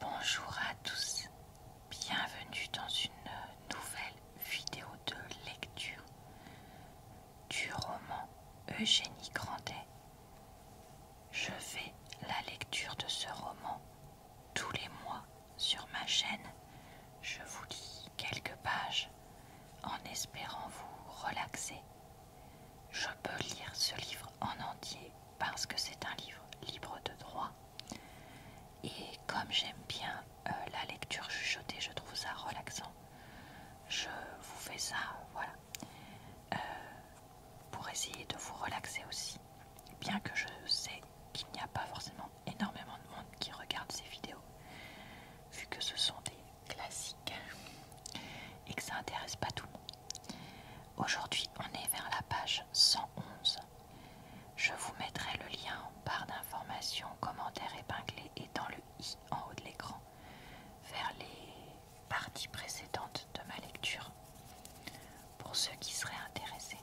Bonjour à tous, bienvenue dans une nouvelle vidéo de lecture du roman Eugénie Grandet. Je fais la lecture de ce roman tous les mois sur ma chaîne. Je vous lis quelques pages en espérant vous relaxer. Je peux lire ce livre en entier parce que c'est un livre libre de droit. Et comme j'aime bien euh, la lecture chuchotée, je trouve ça relaxant. Je vous fais ça, voilà, euh, pour essayer de vous relaxer aussi. Bien que je sais qu'il n'y a pas forcément énormément de monde qui regarde ces vidéos, vu que ce sont des classiques et que ça intéresse pas tout le monde. Aujourd'hui, on est vers la page 111. Je vous mettrai le lien en barre d'informations commentaires épinglé et dans le i en haut de l'écran, vers les parties précédentes de ma lecture, pour ceux qui seraient intéressés.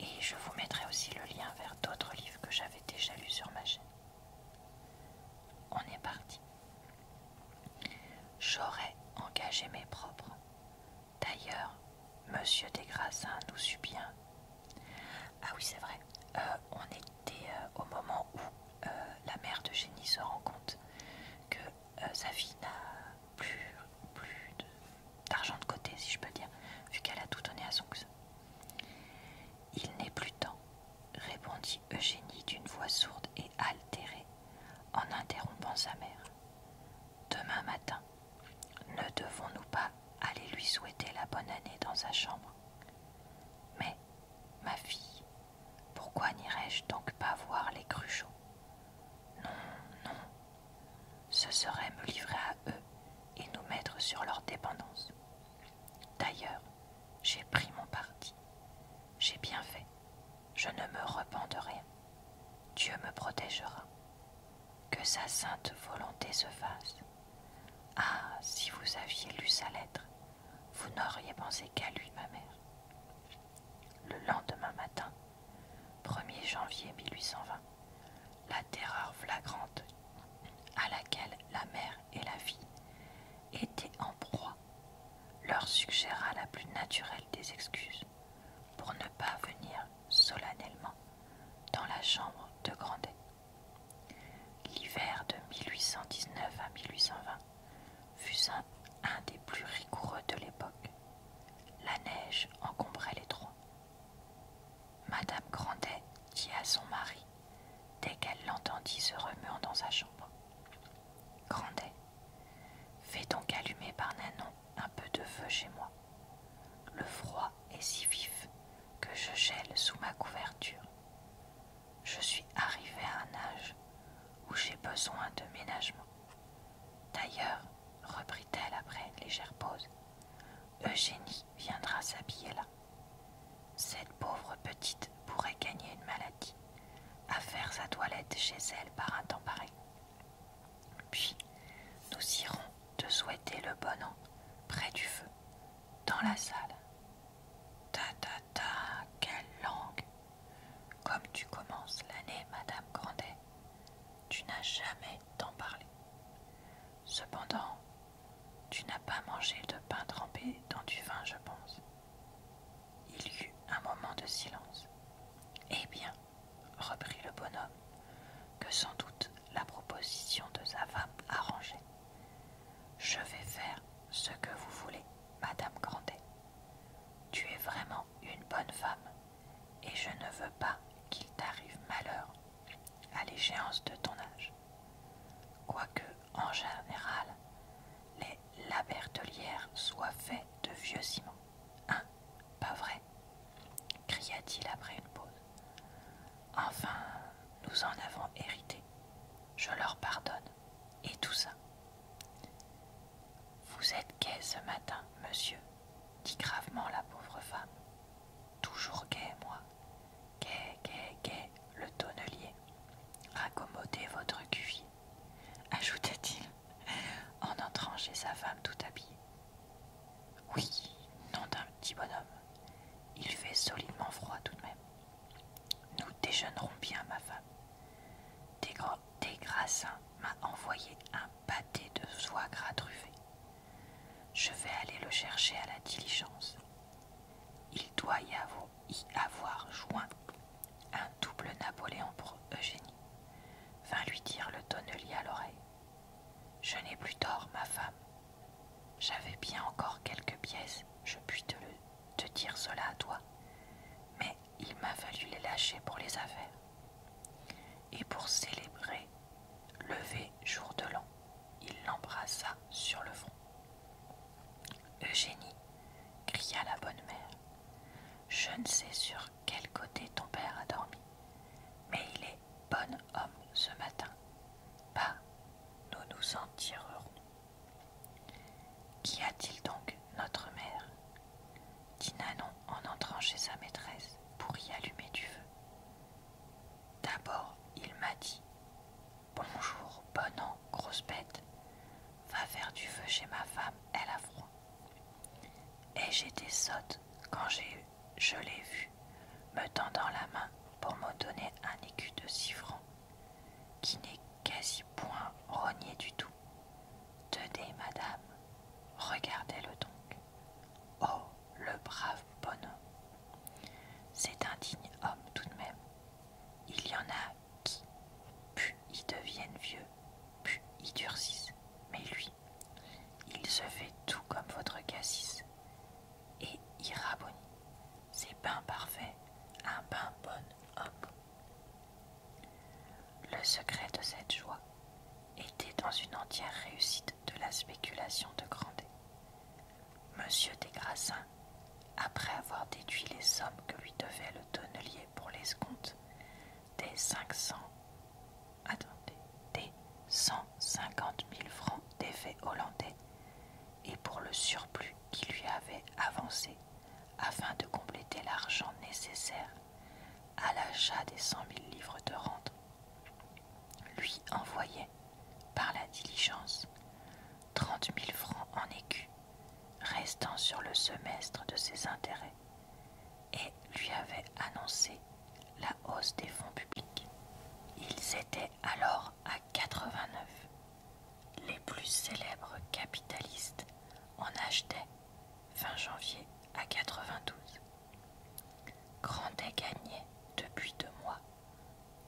Et je vous mettrai aussi le lien vers d'autres livres que j'avais déjà lus sur ma chaîne. On est parti. J'aurais engagé mes propres. D'ailleurs, Monsieur des nous suit bien. Ah oui, c'est vrai. Euh, on était euh, au moment où euh, la mère d'Eugénie se rend compte que sa fille n'a plus, d'argent de, côté, si je peux dire, vu qu'elle a tout donné à son cousin. Il n'est plus temps, répondit Eugénie d'une voix sourde et altérée en interrompant sa mère. Demain matin, ne devons-nous pas aller lui souhaiter la bonne année dans sa chambre Mais, ma fille, pourquoi n'irais-je donc pas voir les Cruchot Non, non, ce serait me livrer à eux et nous mettre sur leur dépendance. D'ailleurs, j'ai pris mon parti. J'ai bien fait je ne me repens de rien. Dieu me protégera. Que sa sainte volonté se fasse. Ah, si vous aviez lu sa lettre, vous n'auriez pensé qu'à lui, ma mère. Le lendemain matin, 1er janvier 1820, la terreur flagrante à laquelle la mère et la fille étaient en proie leur suggéra la plus naturelle des excuses pour ne pas venir solennellement dans la chambre de Grandet. L'hiver de 1819 à 1820 fut un, des plus rigoureux de l'époque. La neige encombrait les trois. Madame Grandet dit à son mari, dès qu'elle l'entendit se remuant dans sa chambre Grandet, Fais donc allumer par Nanon un peu de feu chez moi. Le froid est si vif que je gèle sous ma couverture. Je suis arrivée à un âge où j'ai besoin de ménagement. D'ailleurs, reprit-elle après une légère pause, Eugénie viendra s'habiller là. Cette pauvre petite pourrait gagner une maladie à faire sa toilette chez elle par un temps pareil. Puis nous irons te souhaiter le bon an près du feu, dans la salle. Ta ta ta, quelle langue Comme tu commences l'année, Madame Grandet, tu n'as jamais tant parlé. Cependant, tu n'as pas mangé de pain trempé dans du vin, je pense. Il y eut un moment de silence. Eh bien, reprit le bonhomme, que sans doute la proposition de sa femme arrangeait. Je vais faire ce que vous voulez, Madame Grandet. Tu es vraiment une bonne femme, et je ne veux pas qu'il t'arrive malheur à l'échéance de ton âge. Quoique, en général, les labertelières soient faites de vieux ciments Hein Pas vrai cria-t-il après une pause. Enfin, nous en avons hérité. Je leur pardonne. Et tout ça. Vous êtes gai ce matin, monsieur, dit gravement la pauvre femme. Toujours gai, moi. Gai, gai, gai, le tonnelier. Raccommodez votre cuvier, ajouta-t-il en entrant chez sa femme tout habillée. Oui, nom d'un petit bonhomme. Il fait solidement froid tout de même. Nous déjeunerons bien, ma femme. Des Desgrassins m'a envoyé un pâté de soie gras truffé. Je vais aller le chercher à la diligence. Il doit y avoir joint un double Napoléon pour Eugénie, vint lui dire le tonnelier à l'oreille. Je n'ai plus tort, ma femme. J'avais bien encore quelques pièces, je puis te, le, dire cela à toi, mais il m'a fallu les lâcher pour les affaires. Et pour célébrer, levé jour de l'an, il l'embrassa sur le front. Eugénie cria la bonne mère. Je ne sais sur quel côté ton père a dormi, mais il est bon homme ce matin. Pas, bah, nous nous en tirerons. Qu'y a-t-il donc, notre mère dit Nanon en entrant chez sa maîtresse pour y allumer du feu. D'abord, il m'a dit Bonjour, bon an, grosse bête. Va faire du feu chez ma femme, elle a froid. Et j'étais sotte quand je l'ai vu me tendant la main pour me donner un écu de six francs, qui n'est quasi point rogné du tout. Tenez, madame, regardez-le donc. Oh, le brave bonhomme. C'est un digne homme tout de même. Il y en a qui, pu ils deviennent vieux Pu y durcissent. Mais lui, il se fait tout comme votre cassis. Et y rabonne. C'est pain parfait, un pain bon homme. Le secret de cette joie était dans une entière réussite de la spéculation de Grandet. Monsieur des Grassins, après avoir déduit les sommes que lui devait le tonnelier pour l'escompte, des cents, attendez, des 150 000 francs d'effets hollandais et pour le surplus qui lui avait avancé afin de compléter l'argent nécessaire à l'achat des cent mille livres de rente, lui envoyait par la diligence 30 000 francs en écus restant sur le semestre de ses intérêts et lui avait annoncé la hausse des fonds publics. Ils étaient alors à 89. Les plus célèbres capitalistes en achetaient fin janvier à 92. Grandet gagnait depuis deux mois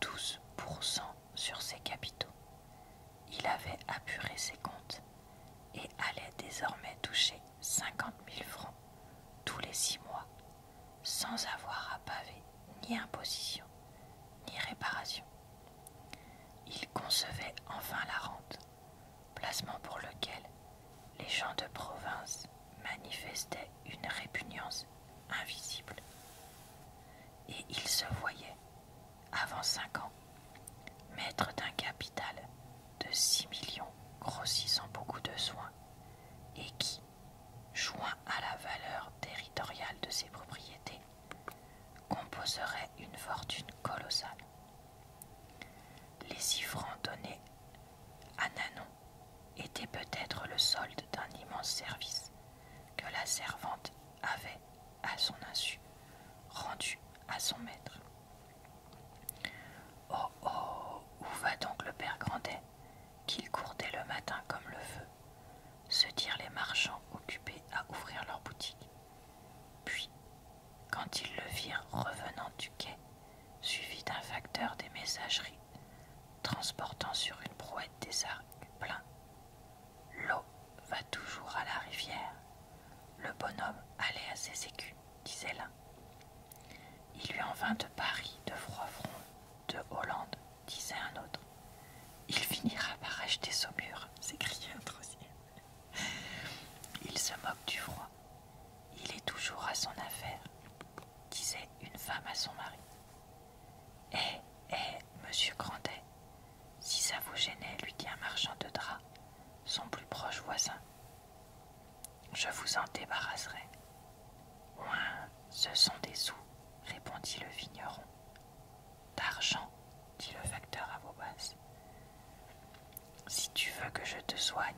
12% sur ses capitaux. Il avait apuré ses comptes et allait désormais toucher cinquante mille francs tous les six mois, sans avoir à paver ni imposition ni réparation. Il concevait enfin la rente, placement pour lequel les gens de province manifestaient une répugnance invisible. Et il se voyait, avant cinq ans, Maître d'un capital de 6 millions grossissant beaucoup de soins et qui, joint à la valeur territoriale de ses propriétés, composerait une fortune colossale. Les six francs donnés à Nanon étaient peut-être le solde d'un immense service que la servante avait, à son insu, rendu à son maître. Oh oh Où va donc le père Grandet qu'il courtait le matin comme le feu se dirent les marchands occupés à ouvrir leurs boutiques. Puis, quand ils le virent revenant du quai, suivi d'un facteur des messageries, transportant sur une brouette des arcs pleins, l'eau va toujours à la rivière. Le bonhomme allait à ses écus disait l'un. Il lui en vint de Paris, de front de Hollande, disait un autre. Il finira par acheter Saumur, s'écriait un troisième. Il se moque du froid. Il est toujours à son affaire, disait une femme à son mari. Eh, eh monsieur Grandet, si ça vous gênait, lui dit un marchand de draps, son plus proche voisin. Je vous en débarrasserai. Ouin, ce sont des sous, répondit le vigneron. D'argent, dit le facteur à voix basse. Si tu veux que je te soigne,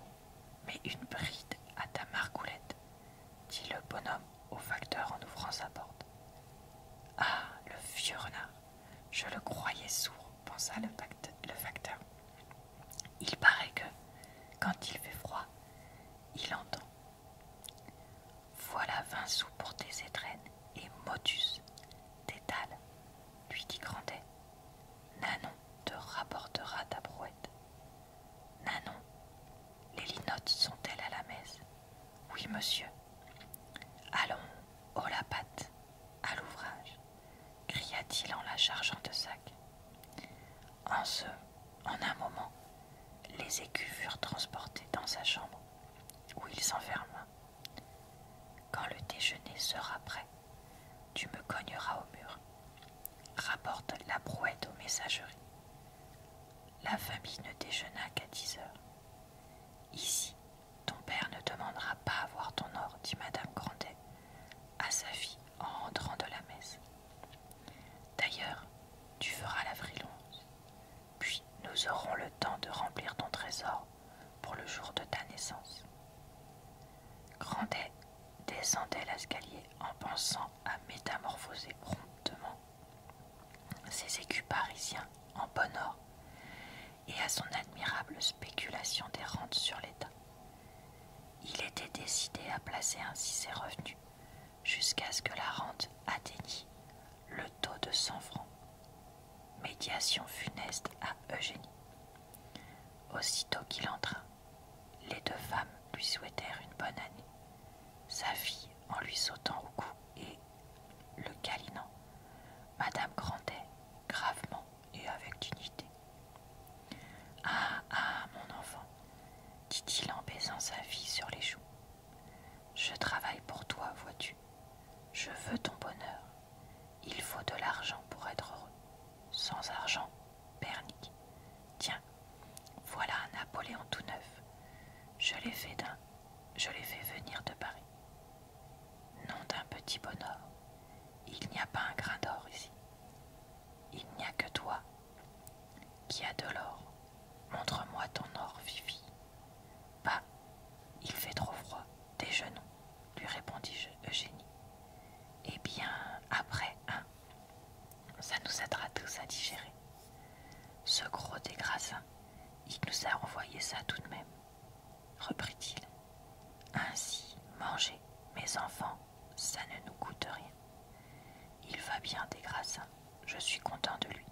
mets une bride à ta margoulette, dit le bonhomme au facteur en ouvrant sa porte. Ah, le vieux renard je le croyais sourd, pensa le, facteur. Il paraît que, quand il fait froid, il entend. Voilà vingt sous pour tes étrennes et motus, T'étales, lui dit Grandet. Nanon te rapportera ta brouette. Nanon, les linottes sont-elles à la messe Oui, monsieur. Allons, oh la patte, à l'ouvrage cria-t-il en la chargeant de sac. En ce, en un moment, les écus furent transportés dans sa chambre, où il s'enferma. Quand le déjeuner sera prêt, tu me cogneras au mur. Rapporte la brouette aux messageries. La famille ne déjeuna qu'à dix heures. Ici, ton père ne demandera pas à voir ton or, dit Madame Grandet à sa fille en rentrant de la messe. D'ailleurs, tu feras la long, puis nous aurons le temps de remplir ton trésor pour le jour de ta naissance. Grandet descendait l'escalier en pensant à métamorphoser promptement ses écus parisiens en bon or et à son admirable spéculation des rentes sur l'État. Il était décidé à placer ainsi ses revenus jusqu'à ce que la rente atteignît le taux de 100 francs. Médiation funeste à Eugénie. Aussitôt qu'il entra, les deux femmes lui souhaitèrent une bonne année. Sa fille, en lui sautant au cou et le câlinant, Madame Grandet, gravement, et avec dignité. Ah, ah, mon enfant, dit-il en baisant sa fille sur les joues, je travaille pour toi, vois-tu. Je veux ton bonheur. Il faut de l'argent pour être heureux. Sans argent, Bernic. Tiens, voilà un Napoléon tout neuf. Je l'ai fait d'un. Je l'ai fait venir de Paris. Nom d'un petit bonheur, il n'y a pas un grain d'or ici. Il n'y a que toi qui as de l'or. Montre-moi ton or, Fifi. Bah, il fait trop froid, déjeunons, lui répondit Eugénie. Eh bien, après, hein Ça nous aidera tous à digérer. Ce gros des il nous a envoyé ça tout de même reprit-il. Ainsi, mangez, mes enfants, ça ne nous coûte rien. Il va bien des grassins, je suis content de lui.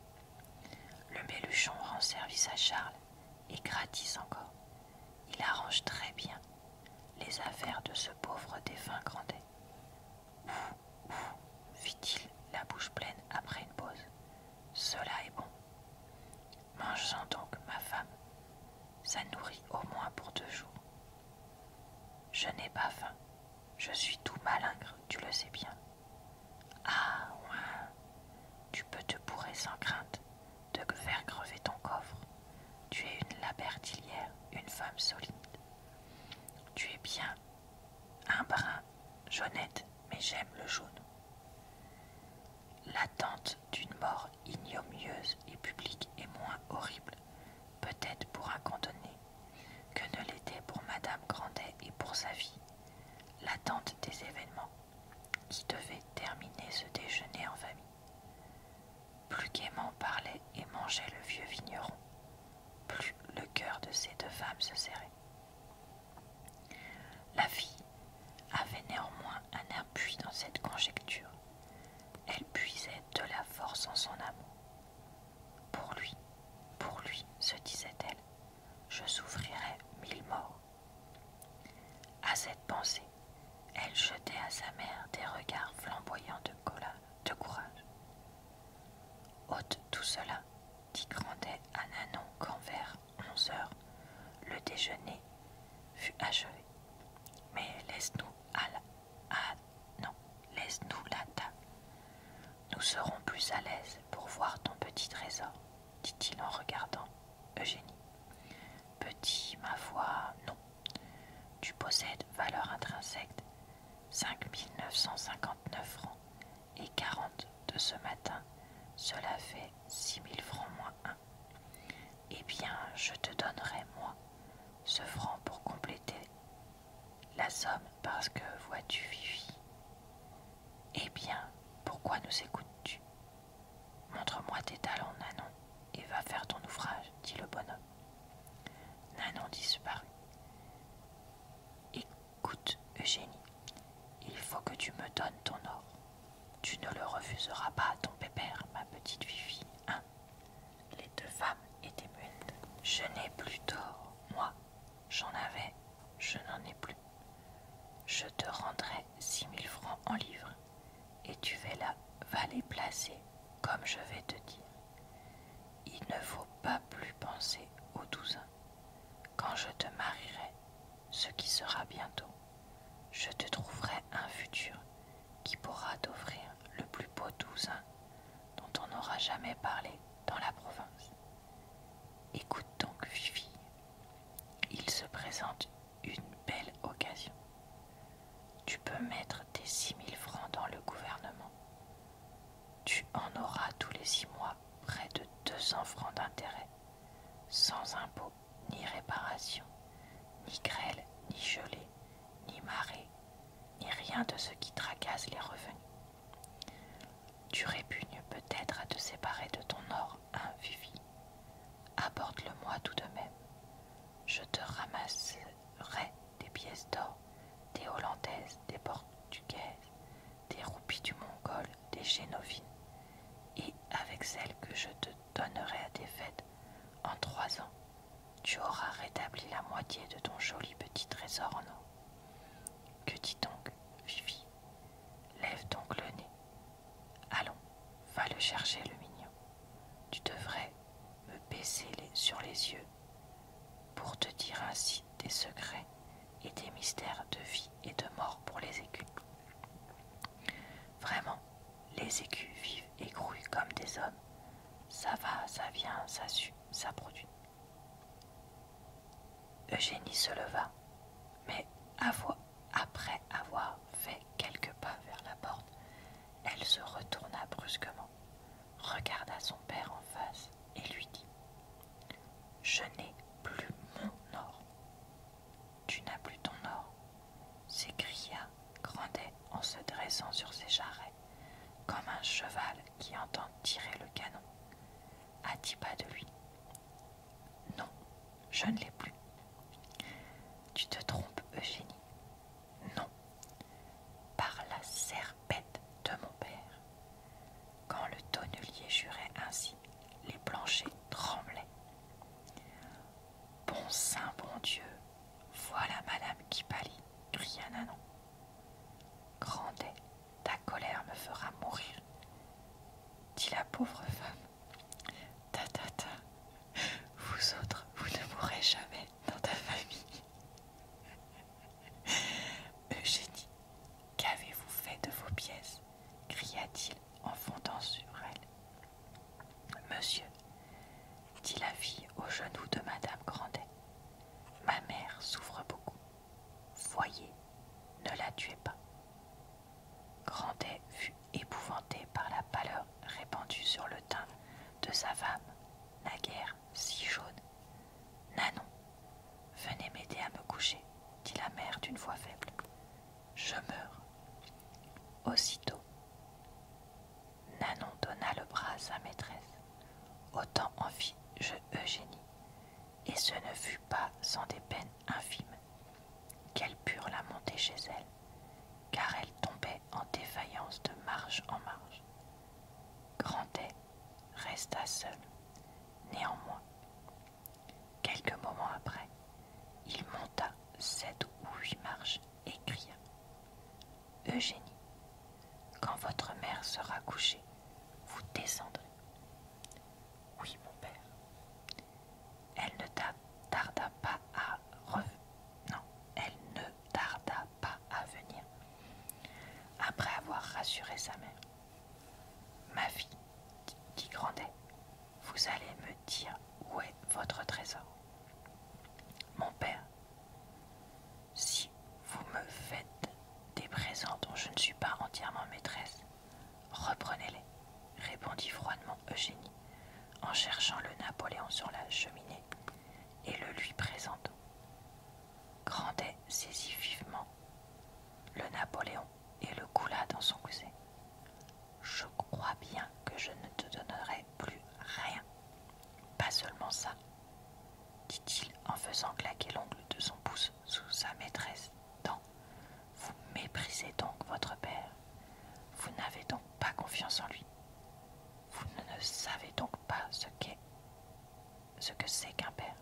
Le Méluchon rend service à Charles, et gratis encore. Il arrange très bien les affaires de ce pauvre défunt Grandet. fit-il, la bouche pleine après une pause. Cela est bon. Mange-en donc, ma femme ça nourrit au moins pour deux jours. Je n'ai pas faim, je suis tout malingre, tu le sais bien. Ah, ouais, tu peux te bourrer sans crainte de faire crever ton coffre. Tu es une labertillière, une femme solide. Tu es bien, un brun, jaune, mais j'aime le jaune. L'attente d'une mort ignomieuse et publique est moins horrible, peut-être pour un condamné, que ne l'était pour Madame Grandet et pour sa vie. L'attente des événements qui devaient terminer ce déjeuner en famille. Plus gaiement parlait et mangeait le vieux vigneron, plus le cœur de ces deux femmes se serrait. La fille avait néanmoins un appui dans cette conjecture. Elle puisait de la force en son amour. Pour lui, pour lui, se disait-elle, je souffrirais mille morts. À cette pensée, elle jetait à sa mère des regards flamboyants de, de courage. Ôte tout cela, dit Grandet à Nanon heures, le déjeuner fut achevé. Mais laisse-nous à la... À, non, laisse-nous la table. Nous serons plus à l'aise pour voir ton petit trésor, dit-il en regardant Eugénie. Petit, ma foi, non. Tu possèdes valeur intrinsèque 5959 francs et 40 de ce matin. Cela fait 6000 francs moins eh bien, je te donnerai, moi, ce franc pour compléter la somme, parce que, vois-tu, Vivi Eh bien, pourquoi nous écoutes-tu Montre-moi tes talents, Nanon, et va faire ton ouvrage, dit le bonhomme. Nanon disparut. Écoute, Eugénie, il faut que tu me donnes ton or. Tu ne le refuseras pas à ton pépère, ma petite Fifi, hein Les deux femmes étaient muettes. Je n'ai plus tort, moi. J'en avais, je n'en ai plus. Je te rendrai six mille francs en livres, et tu vas, là, valer les placer, comme je vais te dire. Il ne faut pas plus penser aux douzains. Quand je te marierai, ce qui sera bientôt, je te trouverai un futur qui pourra t'offrir le plus beau douzain dont on n'aura jamais parlé dans la province. Écoute donc, Fifi, il se présente une belle occasion. Tu peux mettre tes six mille francs dans le gouvernement. Tu en auras tous les six mois près de 200 francs d'intérêt, sans impôt ni réparation, ni grêle, ni gelée, ni marée, ni rien de ce qui tracasse les revenus. Tu répugnes peut-être à te séparer de ton or, hein, Apporte-le-moi tout de même. Je te ramasserai des pièces d'or, des hollandaises, des portugaises, des roupies du mongol, des génovines, et avec celles que je te donnerai à tes fêtes en trois ans. Tu auras rétabli la moitié de ton joli petit trésor en eau. Que dis donc, Vivi, Lève donc le nez. Allons, va le chercher, le mignon. Tu devrais me baisser sur les yeux pour te dire ainsi des secrets et des mystères de vie et de mort pour les écus. Vraiment, les écus vivent et grouillent comme des hommes. Ça va, ça vient, ça suit, ça produit. Eugénie se leva, mais après avoir fait quelques pas vers la porte, elle se retourna brusquement, regarda son père en face et lui dit Je n'ai plus mon or. Tu n'as plus ton or s'écria Grandet en se dressant sur ses jarrets, comme un cheval qui entend tirer le canon. À dix pas de lui. Non, je ne l'ai plus. Tu te trompes, Eugénie. Non. Par la serpette de mon père. Quand le tonnelier jurait ainsi, les planchers tremblaient. Bon saint, bon Dieu, voilà madame qui pâlit, cria Nanon. Grandet, ta colère me fera mourir, dit la pauvre femme. Ta ta ta, vous autres, vous ne mourrez jamais dans ta famille. Eugénie, qu'avez-vous fait de vos pièces cria-t-il en fondant sur elle. Monsieur, dit la fille aux genoux de madame Grandet, ma mère souffre beaucoup. Voyez, ne la tuez pas. Grandet fut épouvanté par la pâleur répandue sur le teint de sa femme, naguère si jaune. Nanon, venez m'aider à me coucher, dit la mère d'une voix faible. Je meurs. Aussitôt, Nanon donna le bras à sa maîtresse. Autant en fit je Eugénie, et ce ne fut pas sans des peines infimes qu'elles purent la monter chez elle, car elle tombait en défaillance de marche en marche. Grandet resta seul. Néanmoins, Quelques moments après, il monta sept ou huit marches et cria Eugénie, quand votre mère sera couchée, vous descendrez. Oui, mon père. Elle ne tarda pas à revenir. venir. Après avoir rassuré sa mère, ma fille, qui Grandet, vous allez me dire où est votre trésor. Mon père, si vous me faites des présents dont je ne suis pas entièrement maîtresse, reprenez-les, répondit froidement Eugénie en cherchant le Napoléon sur la cheminée et le lui présentant. Grandet saisit vivement le Napoléon et le coula dans son coussin. Je crois bien que je ne te donnerai plus rien. Pas seulement ça, dit-il en faisant claquer l'ongle de son pouce sous sa maîtresse dent. Vous méprisez donc votre père. Vous n'avez donc pas confiance en lui. Vous ne savez donc pas ce qu'est ce que c'est qu'un père.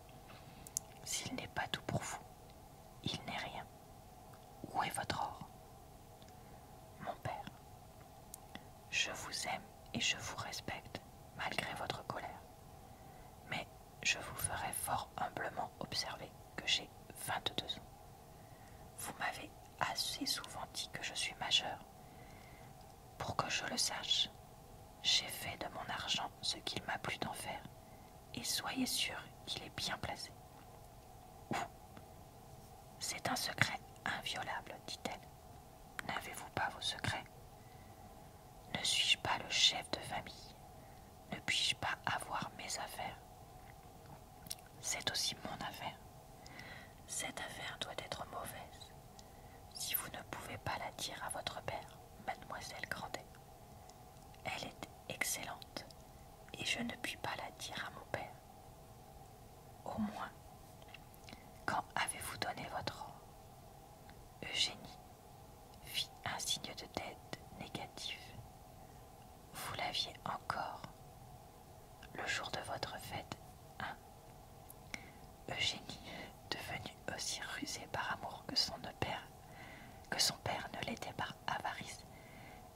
S'il n'est pas tout pour vous, il n'est rien. Où est votre or Mon père, je vous aime et je vous respecte malgré votre colère, mais je vous ferai fort humblement observer que j'ai 22 ans. Vous m'avez assez souvent dit que je suis majeur. Pour que je le sache, j'ai fait de mon argent ce qu'il m'a plu d'en faire, et soyez sûr qu'il est bien placé. C'est un secret inviolable, dit-elle. N'avez-vous pas vos secrets Ne suis-je pas le chef de famille Ne puis-je pas avoir mes affaires C'est aussi mon affaire. Cette affaire doit être mauvaise si vous ne pouvez pas la dire à votre père, mademoiselle Grandet. Elle est excellente, et je ne puis pas la dire à mon père. Au moins, quand avez-vous donné votre or Eugénie fit un signe de tête négatif. Vous l'aviez encore le jour de votre fête, hein Eugénie, devenue aussi rusée par amour que son père, que son père ne l'était par avarice,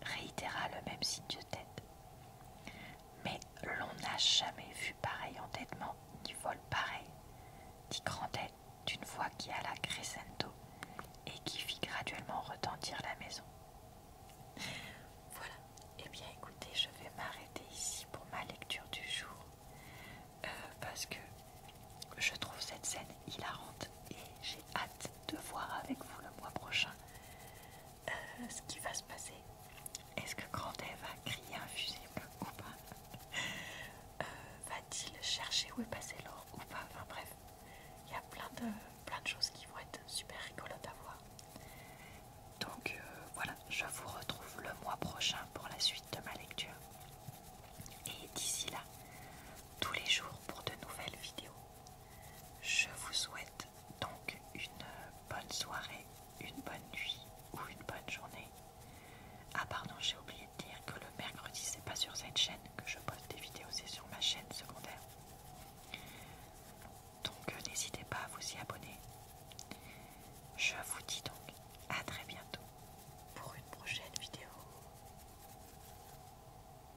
réitéra le même signe de tête. Mais l'on n'a jamais vu pareil entêtement, ni vol pareil, dit Grandet d'une voix qui alla crescendo et qui fit graduellement retentir la maison. Voilà, et eh bien écoutez, je vais m'arrêter ici pour ma lecture du jour euh, parce que je trouve cette scène hilarante et hâte de voir avec vous le mois prochain euh, ce qui va se passer. Est-ce que Grand va crier fusible ou pas euh, Va-t-il chercher où est passé l'or ou pas Enfin bref, il y a plein de, plein de choses qui vont être super rigolotes à voir. Donc euh, voilà, je vous retrouve le mois prochain pour la suite de ma lecture. Et d'ici là, tous les jours pour de nouvelles vidéos. Je vous souhaite donc une bonne soirée, une bonne nuit ou une bonne journée. Ah pardon, j'ai oublié de dire que le mercredi, c'est pas sur cette chaîne que je poste des vidéos, c'est sur ma chaîne secondaire. Donc euh, n'hésitez pas à vous y abonner. Je vous dis donc à très bientôt pour une prochaine vidéo.